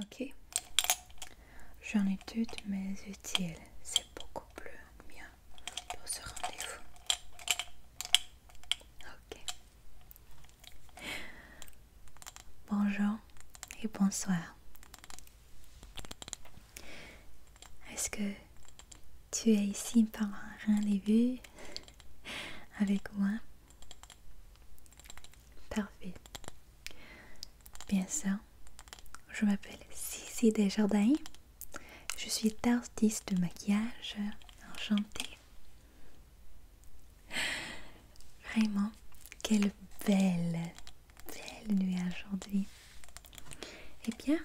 Ok. J'en ai toutes mes utiles. C'est beaucoup plus bien pour ce rendez-vous. Ok. Bonjour et bonsoir. Est-ce que tu es ici par un rendez-vous avec moi Parfait. Bien sûr, je m'appelle Cici Desjardins. Je suis artiste de maquillage. Enchantée. Vraiment, quelle belle, belle nuit aujourd'hui. Eh bien,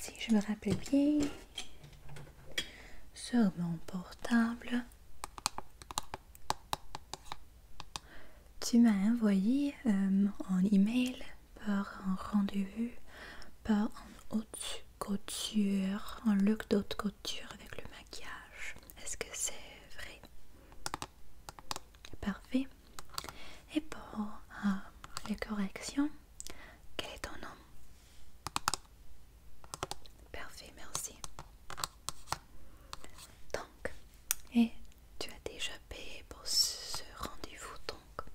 si je me rappelle bien, sur mon portable, tu m'as envoyé euh, en un email par un rendez-vous, par un haute couture, un look d'haute couture avec le maquillage. Est-ce que c'est vrai Parfait. Et pour euh, les corrections, quel est ton nom Parfait, merci. Donc, et tu as déjà payé pour ce rendez-vous, donc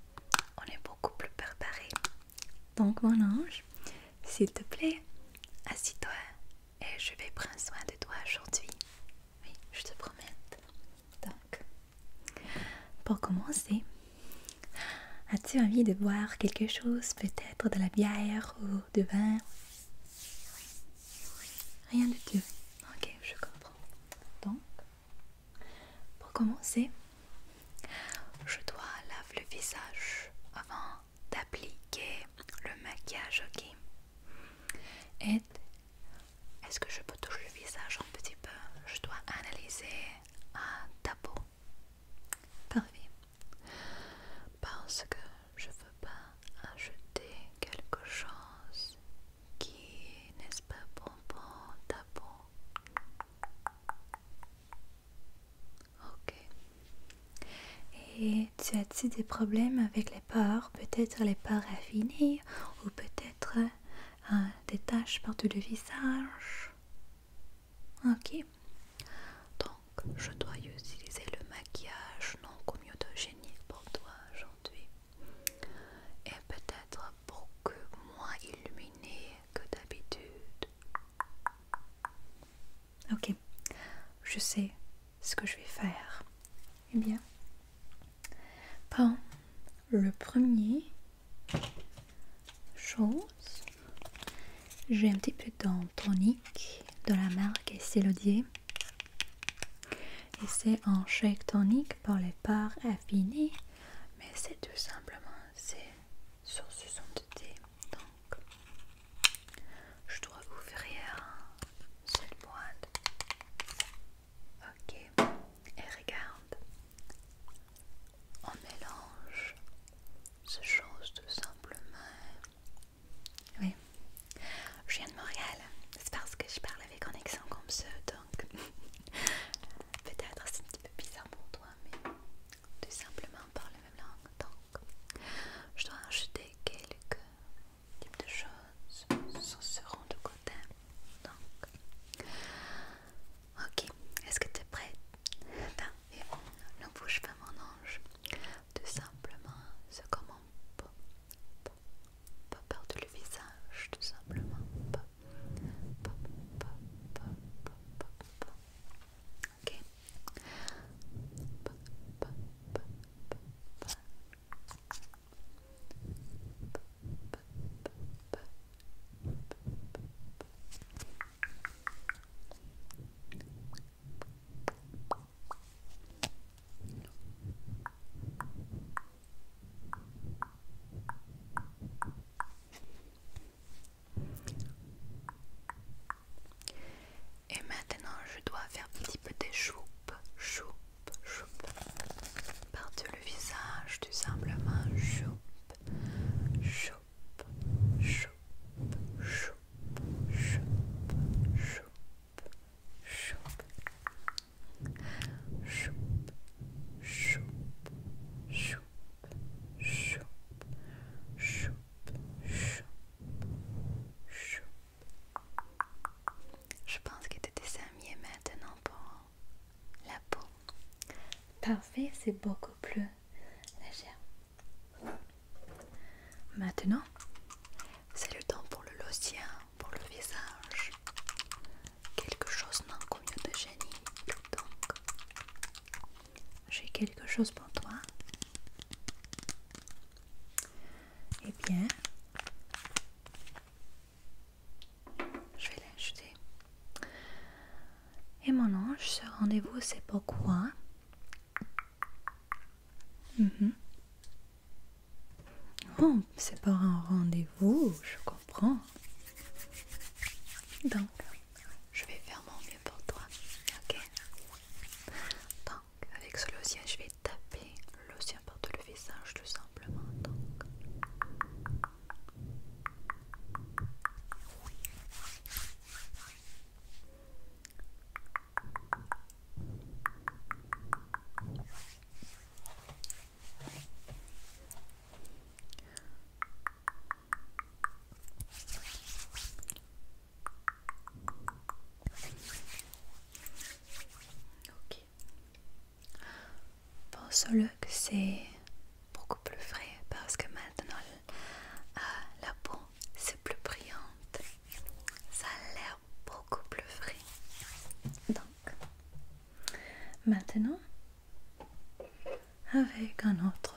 on est beaucoup plus préparé. Donc, mon ange, s'il te plaît, assis-toi et je vais prendre soin de toi aujourd'hui. Oui, je te promets. Donc, pour commencer, as-tu envie de boire quelque chose, peut-être de la bière ou du vin Rien de tout. Ok, je comprends. Donc, pour commencer, je dois laver le visage avant d'appliquer le maquillage, ok Et est-ce que je peux toucher le visage un petit peu Je dois analyser un ta peau. Parfait parce que je veux pas ajouter quelque chose qui n'est pas bon pour ta Ok. Et tu as-tu des problèmes avec les pores Peut-être les pores affinées ou peut-être euh, des taches partout le visage Ok. Donc, je dois utiliser le maquillage non communautogénique pour toi aujourd'hui. Et peut-être pour que moins illuminé que d'habitude. Ok, je sais ce que je vais faire. Eh bien, prends le premier chose j'ai un petit peu de tonique de la marque Célodier. Et c'est un shake tonique pour les parts affinées, mais c'est tout simplement c'est sur ce son de thé. Donc, je dois vous ouvrir cette boîte. Ok, et regarde, on mélange ces choses tout simplement oui. Je viens de Montréal. C'est parce que je parle avec un accent comme ça, donc peut-être c'est un petit peu bizarre pour toi, mais tout simplement parle la même langue. Donc, je dois acheter quelques types de choses sur ce rond de côté. Donc, ok. Est-ce que tu es prête on, Ne bouge pas, mon ange tout simplement ce comment peut, peut, peut perdre le visage, tout simplement. Peut, peut, peut, peut, peut, peut, peut. Ok. Peut, peut, peut, peut, peut. Et maintenant, je dois faire un petit peu des choupes, choupes, choupes. par le visage, tout simplement, choupe, choupe. Je pense que tu t'es maintenant pour la peau. Parfait, c'est beaucoup plus Maintenant, c'est le temps pour le lotien, pour le visage. Quelque chose non de génie, donc j'ai quelque chose pour toi. Eh bien, je vais l'acheter. Et mon ange, ce rendez-vous, c'est pourquoi Mhm. Bon, c'est pas un rendez-vous, je comprends. Donc, je vais faire mon mieux pour toi, ok Donc, avec ce logien, je vais taper le partout par le visage, tout simplement. Donc. Ok. le que c'est beaucoup plus frais parce que maintenant euh, la peau, c'est plus brillante. Ça a l'air beaucoup plus frais. Donc, maintenant, avec un autre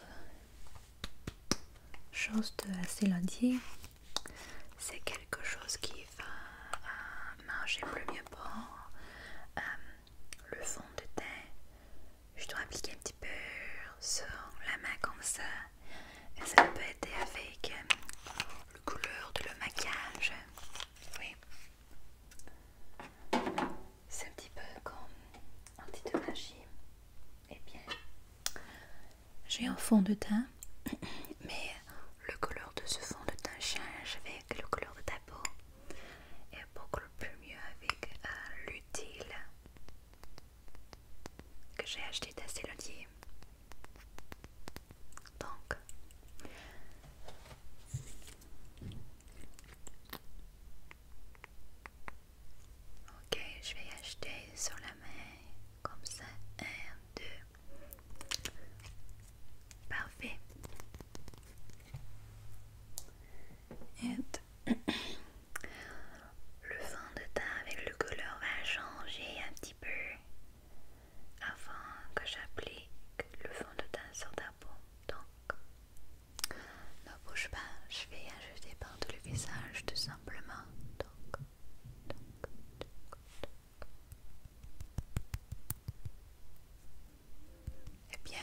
chose de assez lundi, c'est quelque chose qui va euh, manger plus bien pour euh, le fond de teint je dois appliquer un petit peu sur la main comme ça et ça peut aider avec euh, le couleur de le maquillage oui c'est un petit peu comme un petit magie et eh bien j'ai un fond de teint mais le couleur de ce fond de teint change avec le couleur de ta peau et beaucoup plus mieux avec euh, l'utile que j'ai acheté Célodie. Donc, ok, je vais acheter sur la main comme ça. un, 2, parfait. Et, Le fond de teint avec le couleur va changer un petit peu avant que j'applique le fond de teint sur ta peau. Donc, ne bouge pas, je vais ajouter partout le visage tout simplement. Donc, donc, donc, donc. Eh bien,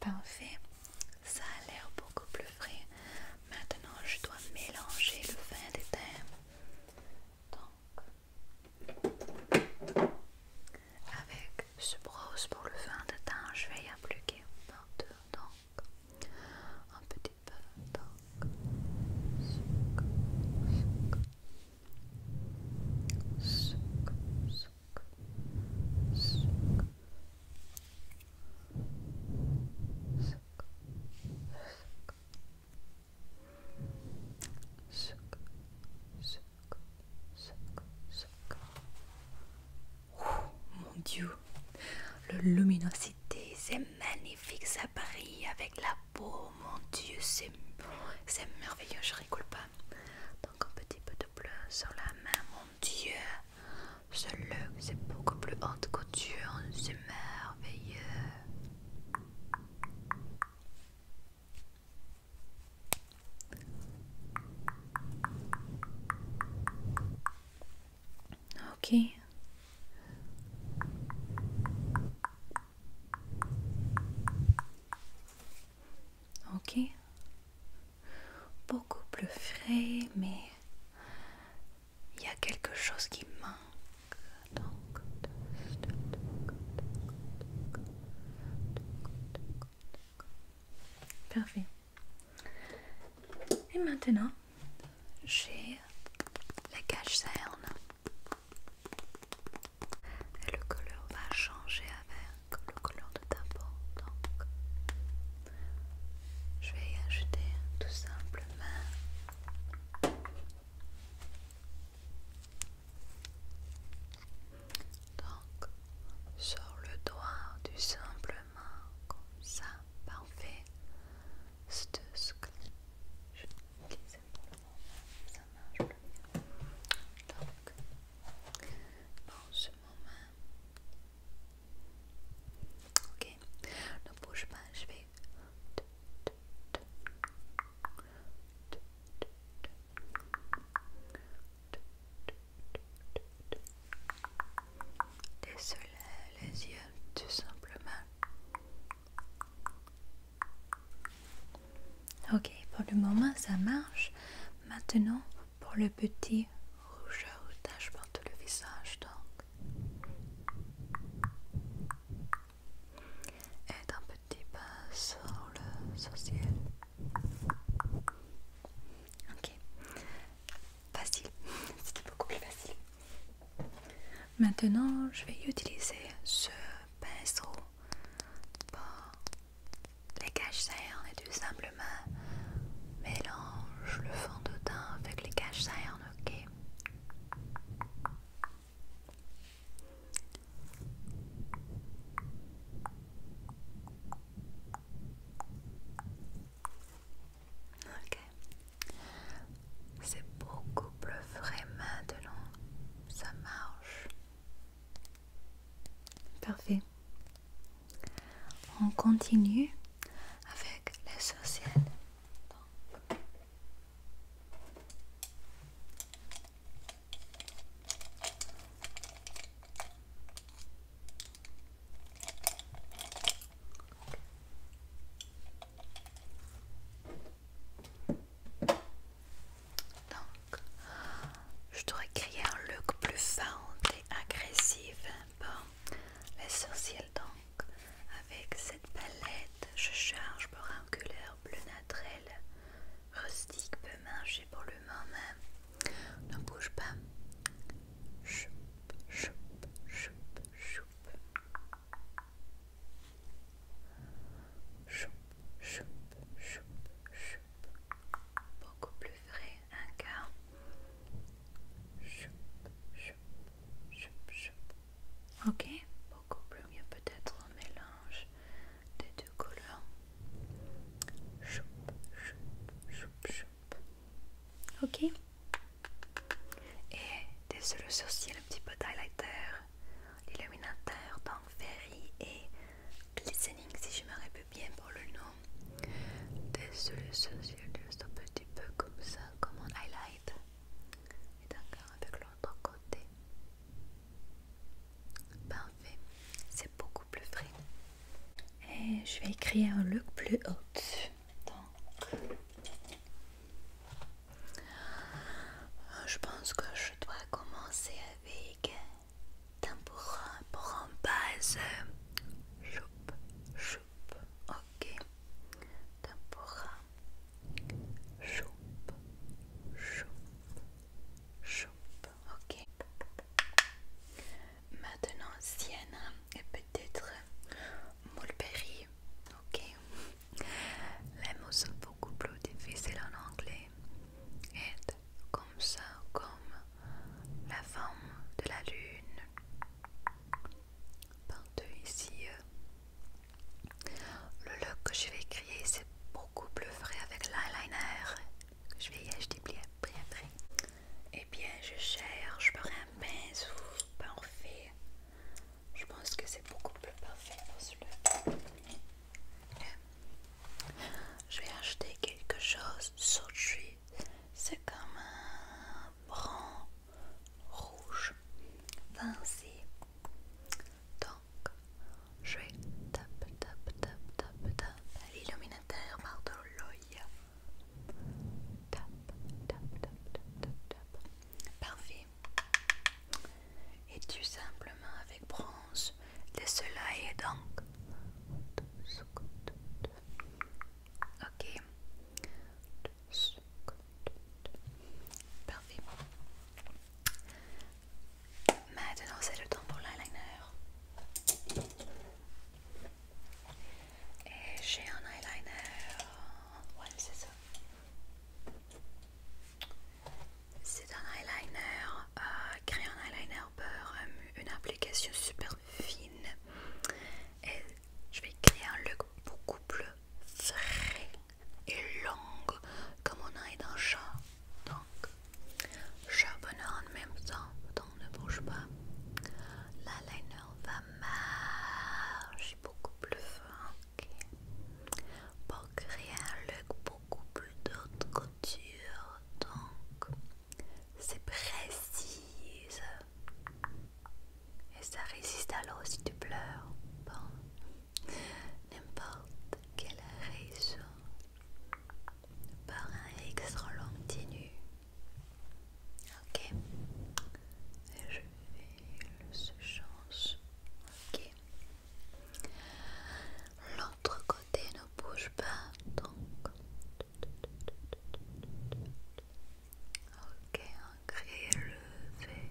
Parfait, ça a l'air beaucoup plus frais. Maintenant, je dois mélanger le vin des Donc, avec ce brosse pour le vin de teint, je vais y appliquer partout. Donc, un petit peu. Donc, mon dieu, le luminosité, c'est magnifique, ça brille avec la peau, mon dieu, c'est merveilleux, je rigole pas. Donc un petit peu de bleu sur la main, Dieu, ce c'est beaucoup plus haute couture, c'est merveilleux. Ok. Ok beaucoup plus frais, mais il y a quelque chose qui manque. Donc, Parfait. Et maintenant, j'ai la cache cerne. Et le couleur va changer avec le couleur de ta Donc, je vais y ajouter tout simplement donc sur le doigt du simplement comme ça parfait c'est ce que je utiliser pour le moment ça marche le mieux donc dans ce moment Ok, ne bouge pas, je vais. Désolé les yeux, tout simplement. Ok, pour le moment ça marche. Maintenant, pour le petit rougeur tache pour tout le visage donc et un petit pinceau sur le sourcil ok facile c'était beaucoup plus facile maintenant je vais utiliser ce pinceau les caches sahernes et du simplement main mélange le fond de teint avec les caches sahernes, ok Ok. C'est beaucoup plus vrai maintenant. Ça marche. Parfait. On continue avec les sociales. Donc, je dois créer un look plus fente et agressif. Hein, bon, l'essentiel donc. Avec cette palette, je charge pour un couleur bleu naturel. Rustique peu manger pour le moment. Ne bouge pas. Choup, choup, choup, choup. Choup, choup, choup, choup. Beaucoup plus frais, un quart. Choup, choup, choup, choup. Ok, beaucoup plus mieux peut-être un mélange des deux couleurs. Choup, choup, choup, Ok. Et des le sourcil, un petit peu d'highlighter, l'illuminateur dans Ferry et listening, si je me rappelle bien pour le nom. sur le juste un petit peu comme ça, comme un highlight. Et d'accord, avec l'autre côté. Parfait, c'est beaucoup plus frais. Et je vais écrire un look plus haut. Donc, je pense que je dois commencer avec Tempura, euh, pour en base. Choup, choup, ok. Tempura, euh, Choup, choup, choup, ok. Maintenant, sienne et peut-être mulberry, ok. Les mots sont beaucoup plus difficiles en anglais. Et comme ça, comme la forme de la lune. Partout ici, euh, le look que je vais créer, c'est beaucoup plus frais avec l'eyeliner que je vais y acheter bien après. Et eh bien, je cherche par un pinceau parfait. Je pense que c'est beaucoup plus parfait pour celui je vais acheter quelque chose sur C'est comme un bran rouge foncé. Donc, je vais tap tap tap tap tap l'illuminateur par de l'œil. Tap tap tap tap tap Parfait. Et tu simplement avec bronze le soleil est donc ok parfait maintenant c'est le temps pour l'eyeliner et j'ai un eyeliner ouais c'est c'est un eyeliner, euh, un eyeliner beurre, euh, une application super fine. Et je vais créer un look beaucoup plus frais et long, comme on a dans chat. Donc, bonheur en même temps, donc ne bouge pas. L'eyeliner va marcher beaucoup plus fin pour créer un look beaucoup beaucoup d'autres coutures, donc c'est précise et ça résiste à l'eau si tu pleures. Bon, n'importe quelle raison, par un extra continu. Ok, et je le se chance. Ok. L'autre côté ne bouge pas donc. Ok, le levé.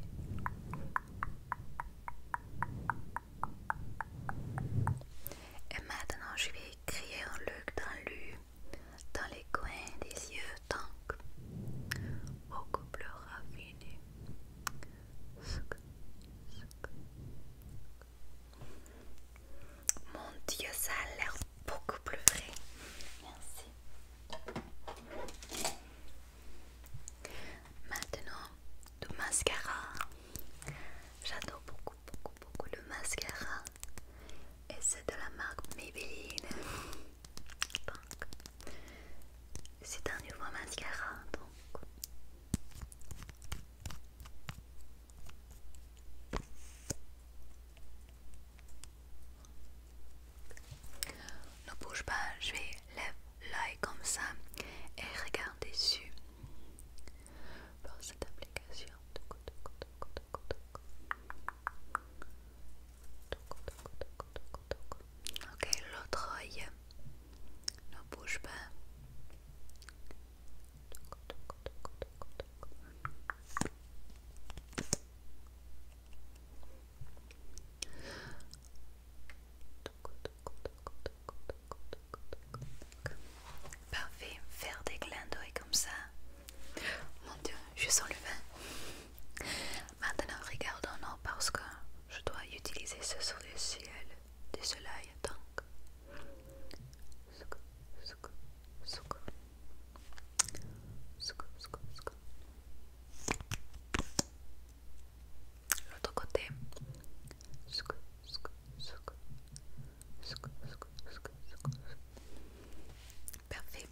Et maintenant je vais écrire un look dans le dans les coins des yeux, donc Au couple raffiné. Mon Dieu, ça a l'air beaucoup plus vrai. Merci. Maintenant, du mascara. J'adore beaucoup, beaucoup, beaucoup le mascara. Et c'est de la marque Maybelline. C'est un nouveau mascara donc. Ne bouge pas, je vais lever l'œil comme ça et regarder dessus. Pour cette application. Ok, l'autre œil. Ne bouge pas. Parfait, faire des clins d'œil comme ça. Mon dieu, je sens le vin. Maintenant, regardons parce que je dois utiliser ce sur le ciel soleil donc. L'autre côté. Parfait.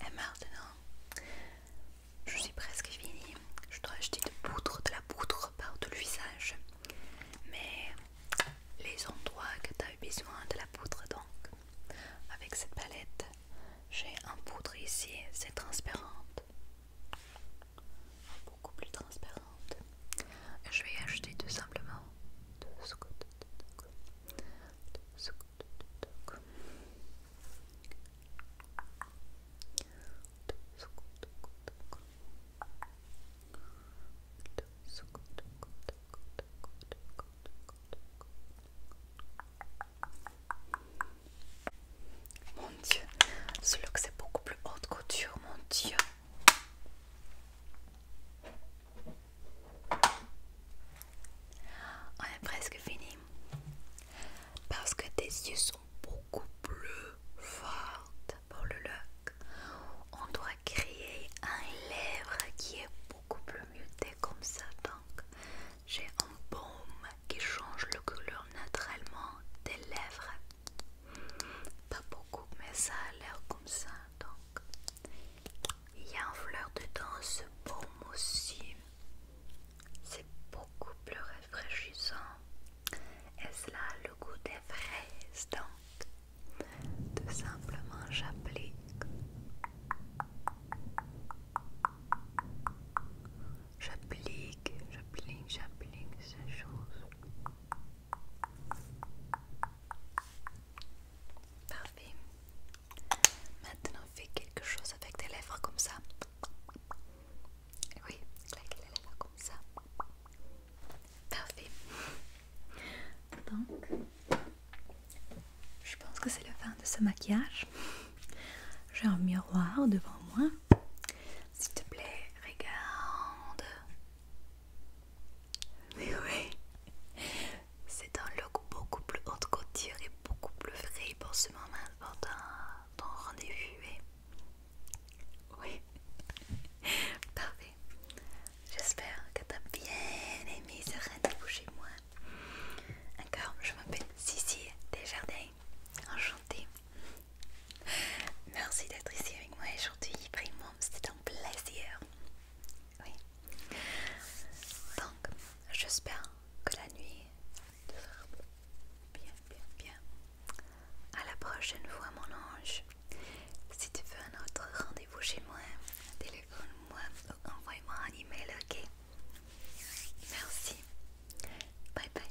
Et maintenant, je suis presque finie. Je dois acheter de de la poudre par le visage, Mais les endroits que tu as eu besoin de la poudre, donc, avec cette palette, j'ai un poudre ici, c'est transparente. Beaucoup plus transparente. Je vais acheter tout simplement de ce côté. De ce côté. Mon Dieu, ce c'est beaucoup plus haute couture, mon Dieu. On est presque fini. Parce que tes yeux sont beaucoup plus fortes pour le look. On doit créer un lèvre qui est beaucoup plus muté comme ça. Donc j'ai un baume qui change le couleur naturellement des lèvres. Pas beaucoup, mais ça a l'air comme ça. Donc il y a en fleur dedans ce baume aussi. C'est beaucoup plus rafraîchissant. Et cela là le goût des fraises, donc tout simplement j'applique. J'applique, j'applique, j'applique ces choses. Parfait. Maintenant, fais quelque chose avec tes lèvres comme ça. Oui, claque les lèvres comme ça. Parfait. Donc, je pense que c'est le fin de ce maquillage. J'ai un miroir devant moi. S'il te plaît, regarde. Mais oui, c'est un look beaucoup plus haute couture et beaucoup plus frais pour ce moment, pour ton, rendez-vous. Hein. Oui. Parfait. J'espère que t'as bien aimé ce rendez-vous chez moi. Encore, je m'appelle Cici Desjardins. Enchantée. Merci d'être ici avec moi aujourd'hui. Vraiment, c'était un plaisir. Oui. Donc, j'espère que la nuit bien, bien, bien. À la prochaine fois, mon ange. Si tu veux un autre rendez-vous chez moi, téléphone-moi ou envoie-moi un email, ok? Merci. Bye bye.